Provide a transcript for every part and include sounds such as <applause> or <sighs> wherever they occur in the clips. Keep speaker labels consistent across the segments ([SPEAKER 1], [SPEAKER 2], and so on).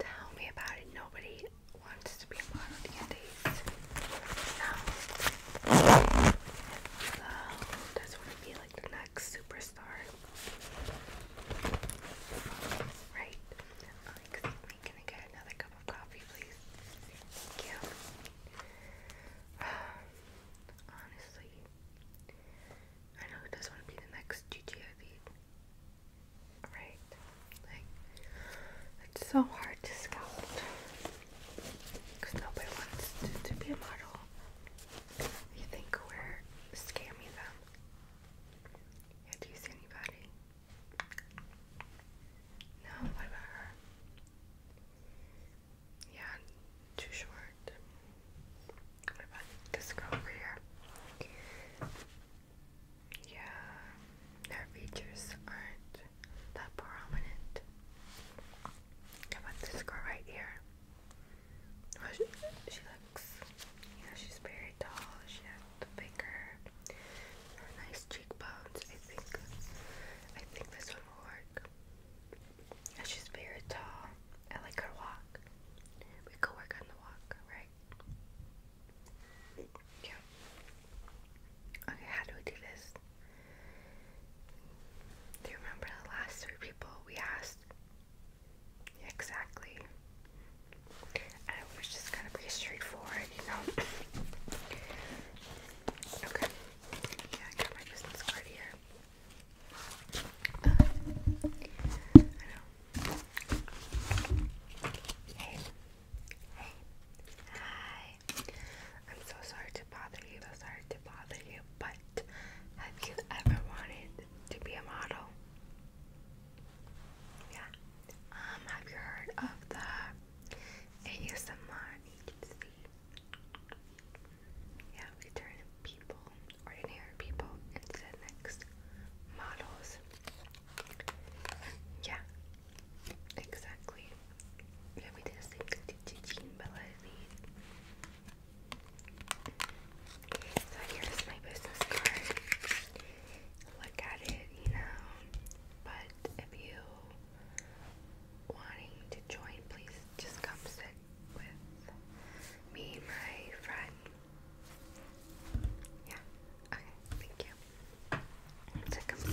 [SPEAKER 1] Tell me about it. Nobody wants to be a model these days. No. So, that's what be like the next superstar. Right. can I get another cup of coffee, please? Thank you. <sighs> honestly, I know who doesn't want to be the next GTA Right? Like, it's so hard to scout. Because nobody wants to, to be a model. You think we're scamming them. Yeah, do you see anybody? No, what about her? Yeah, too short. What about this girl over here? yeah, their features aren't that prominent. about this girl right here? she, looks, you she's very tall. She has the finger, nice cheekbones. I think, I think this one will work. Yeah, she's very tall. I like her walk. We could work on the walk, right? Yeah. Okay, how do we do this? Do you remember the last three people we asked? Exactly. And it was just gonna be straightforward, you know. Okay. Yeah, I my business card here hi. I'm so sorry to bother you, so sorry to bother you, but have you ever wanted to be a model? Yeah. Um, have you heard of the ASMR agency? Yeah, we turn people ordinary people instead next models. Yeah, exactly. Yeah, we did the thing to Jean Bellini. So here's my business card. Look at it, you know. But if you wanting to join, please just come sit with me, my friend. Yeah. Okay. Thank you. So come <laughs>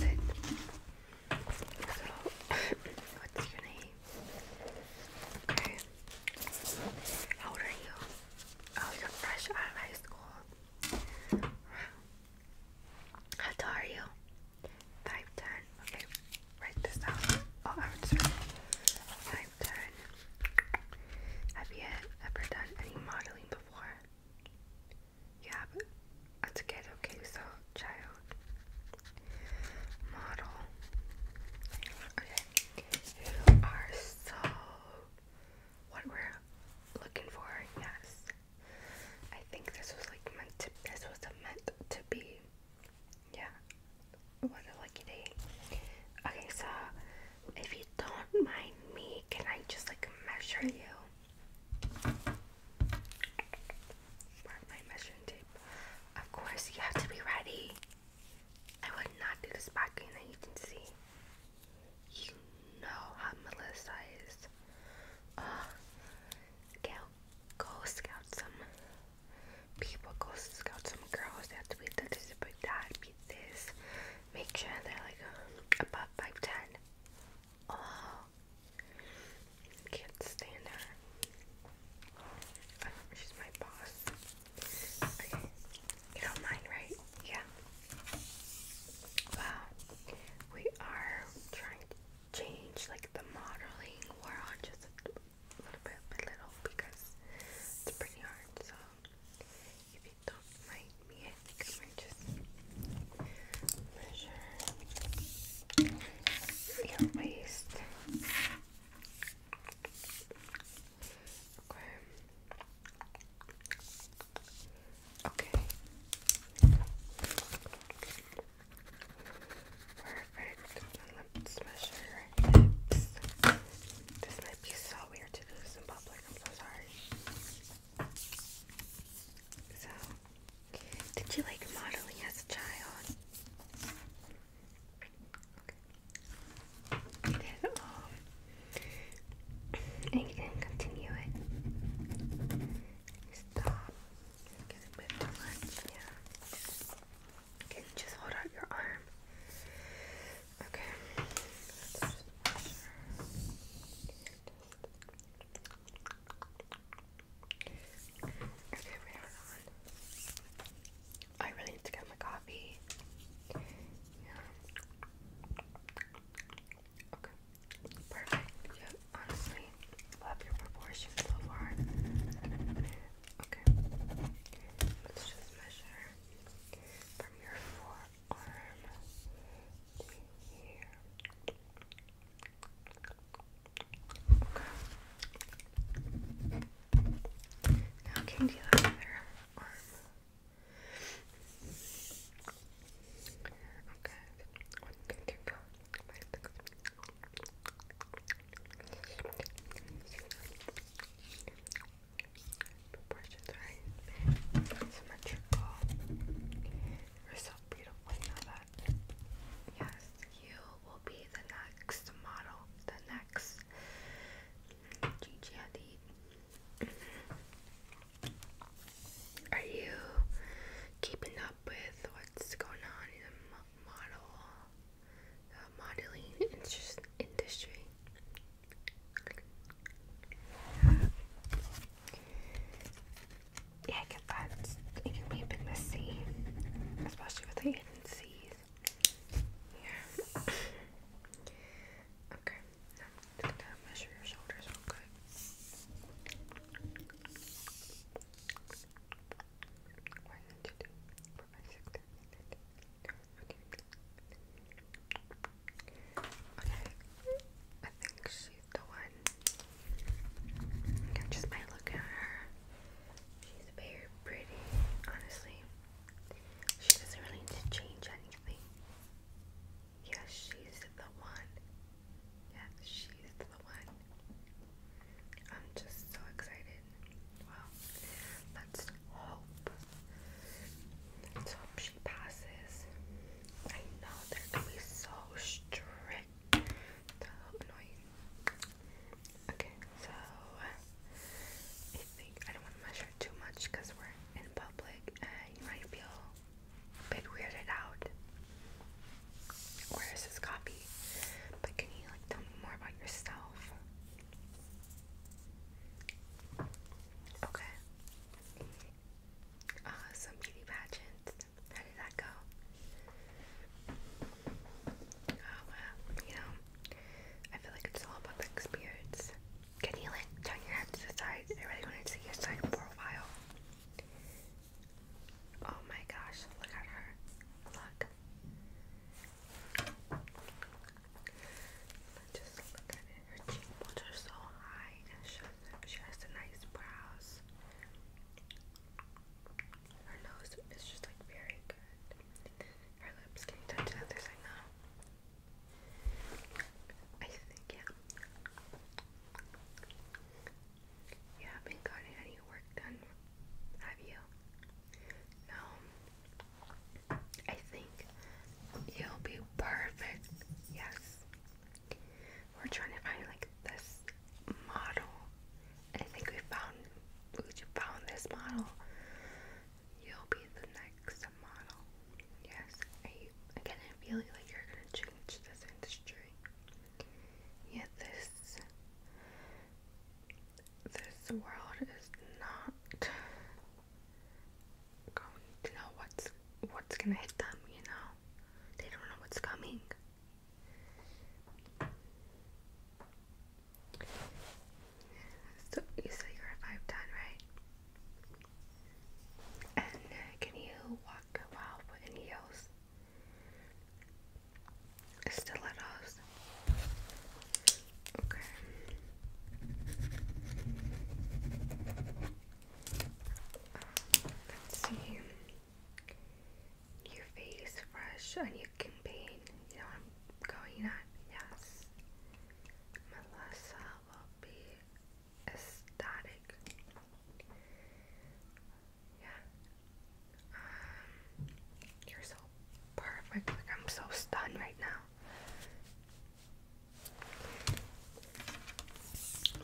[SPEAKER 1] what's your name? Okay. How old are you? Oh, you're fresh out of high school. How tall are you? Five ten. Okay. Write this down. Oh, I would say. I've you ever done any modeling before? Yeah, that's good. Okay, so child model. you are so what we're looking for. Yes, I think this was like meant This was meant to be. Yeah, what a lucky day. Okay, so if you don't mind me, can I just like measure you? Mark my measuring tape. Of course, you have to be ready. I would not do this back in the agency. You know how Melissa is. Uh, go, go scout some people, go scout some girls. They have to be that, like Make sure they're like um, above 5'10. Oh, can't stand her. Oh, she's my boss. Okay, you don't mind, right? Yeah. Wow, we are trying to change like the modeling. we just a little bit by little because it's pretty hard. So if you don't mind me, I think I might just measure your waist. Okay. Perfect. This might be so weird to do this in public. I'm so sorry. So, did you like modeling as a child? And then, um, and you continue it. Stop. Okay, just hold out your arm. Okay. Okay, wait, hold on. Oh, I really need to get my coffee. Okay. Perfect. Yeah, honestly, love your proportions so far. Okay. Let's just measure from your forearm here. Okay. Now can you arm? Okay. One go. Okay proportions are symmetrical. You're so beautiful, you know that. Yes, you will be the next model, the next Gigi Hadid. Mm-hmm. Are you keeping up with what's going on in the model uh, modeling industry. Yeah, get that. It can be a bit messy, especially with the agencies. Yeah. Okay, now I'm just gonna measure your shoulders real quick. One, two, three, four, five, six, seven, eight, nine, Okay. I think she's the one. just might look at her. She's very pretty, honestly. She doesn't really need to change anything. Yes, she's the one. Yes, she's the one. I'm just so excited. Well, let's hope. Let's hope she passes. I know they're gonna be so strict. they annoying. Okay, so I think I don't want to measure too much because we're in public you might feel a bit weirded out. Where is this copy? But can you like tell me more about yourself? Okay. Uh, some beauty pageants. How did that go? Oh well, you know, I feel like it's all about the experience. Can you turn your head to the side? I really want to see your side profile. Oh my gosh, look at her. Look just look at it. Her cheekbones are so high She has the nice brows. Her nose is just like very good. Her lips can you touch that? There's like no. I think yeah. You haven't gotten any work done, have you? No. I think you'll be perfect. Yes. We're trying to find like this model. I think we found we found this model. You'll be the next model. Yes. I I get feeling like you're gonna change this industry. Yeah, this this world is not going to know what's what's gonna hit them, you know? They don't know what's coming. So you said you're five ten, right? And uh, can you walk a while heels? stilettos. Okay. Um, let's see. Your face fresh on your campaign. You know I'm going at? Yes. Melissa will be ecstatic. Yeah. Um, you're so perfect. I'm so stunned right now.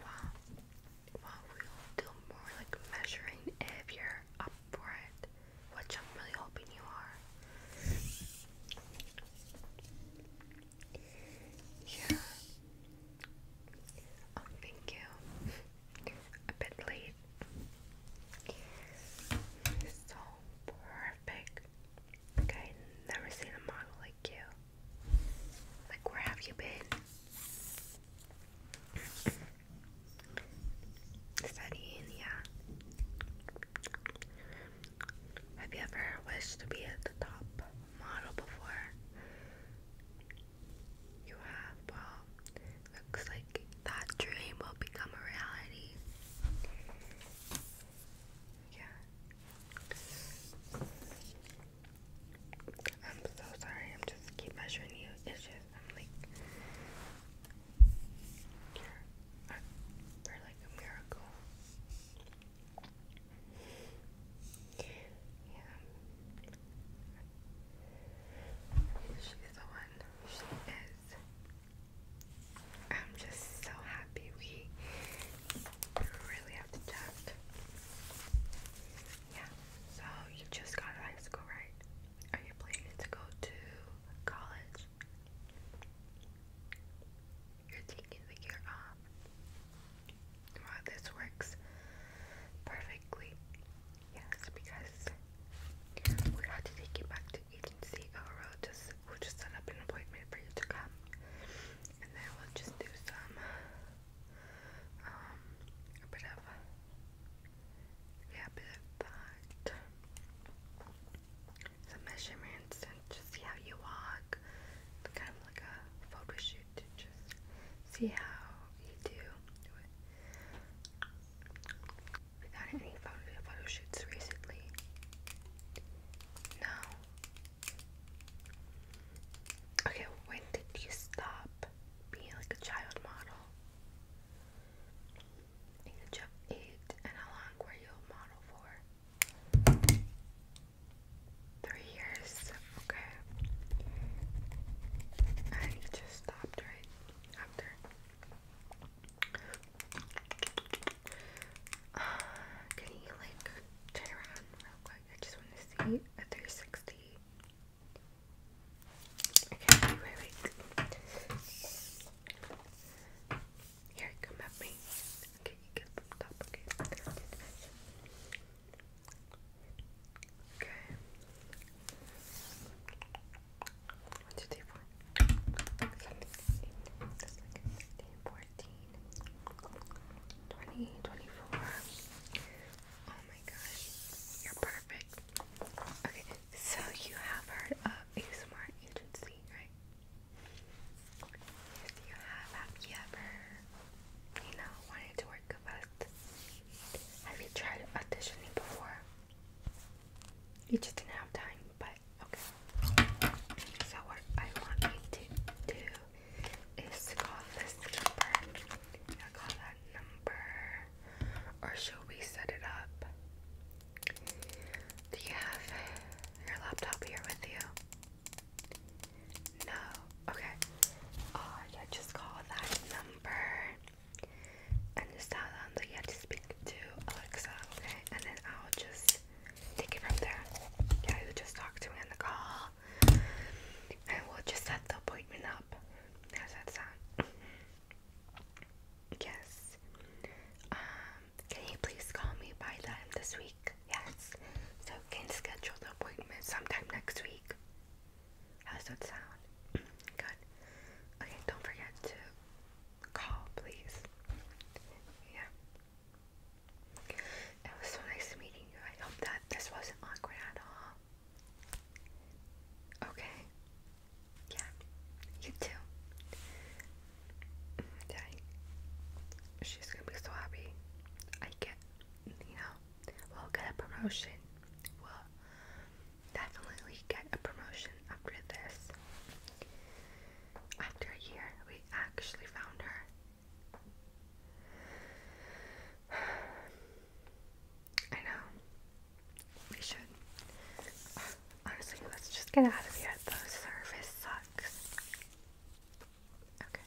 [SPEAKER 1] Wow. Well, we do more like measuring if you're up for it, which I'm really hoping you are. Yeah. Oh, thank you. <laughs> A bit late, so perfect. Like never seen a model like you. Like where have you been? Studying, yeah. Have you ever wished to be at the top model before? You have, well, looks like that dream will become a reality. Yeah. I'm so sorry, I'm just keep measuring you. It's just I'm like you're, like a miracle. Yeah. She's the one. She is. I'm just so happy we really have to check. Yeah, so you just got high school, right? Are you planning to go to college? You're taking the year off. Well, this works perfectly. Yes, because we have to take you back agency or just we'll just set up an appointment for you to come. And then we'll just do some um, a bit of yeah, a bit of that. Some measurements and just see how you walk. Kind of like a photo shoot just see how you do. We got any photo, photo shoots recently? No. Okay, when did you stop being like a child model? Age of eight, and how long were you a model for? Three years. Okay. And you just stopped right after. <sighs> can you like turn around real quick? I just want to see a 360. Okay, wait, wait. Here, come at me. Okay, you get up top. Okay. Okay. One, two, three, four. 17, 14, 20, Oh my gosh, you're perfect. Okay, so you have heard uh, of a smart agency, right? If you have, uh, ever, you know, wanted to work with Have you tried auditioning before? You just didn't have time, but okay. So what I want you to do is call this number. i call that number. Or should we set it up? Do you have your laptop here with you? No. Okay. Oh, yeah, just call that number and just tell them that you have to speak to Alexa, okay? And then I'll just take it from there. Yeah, you just talk to me on the call, and we'll just set the appointment up. How's that sound? Yes. Um, can you please call me by time this week? Yes. So can schedule the appointment sometime next week. How's that sound? <clears throat> Good. Okay, don't forget to call, please. Yeah. It was so nice meeting you. I hope that this wasn't awkward at all. Okay. Yeah. You too. Dang. She's gonna be so happy. I get, you know, we'll get a promotion. we definitely get a promotion after this. After a year, we actually found her. <sighs> I know. We should. Honestly, let's just get out of here. The service sucks. Okay.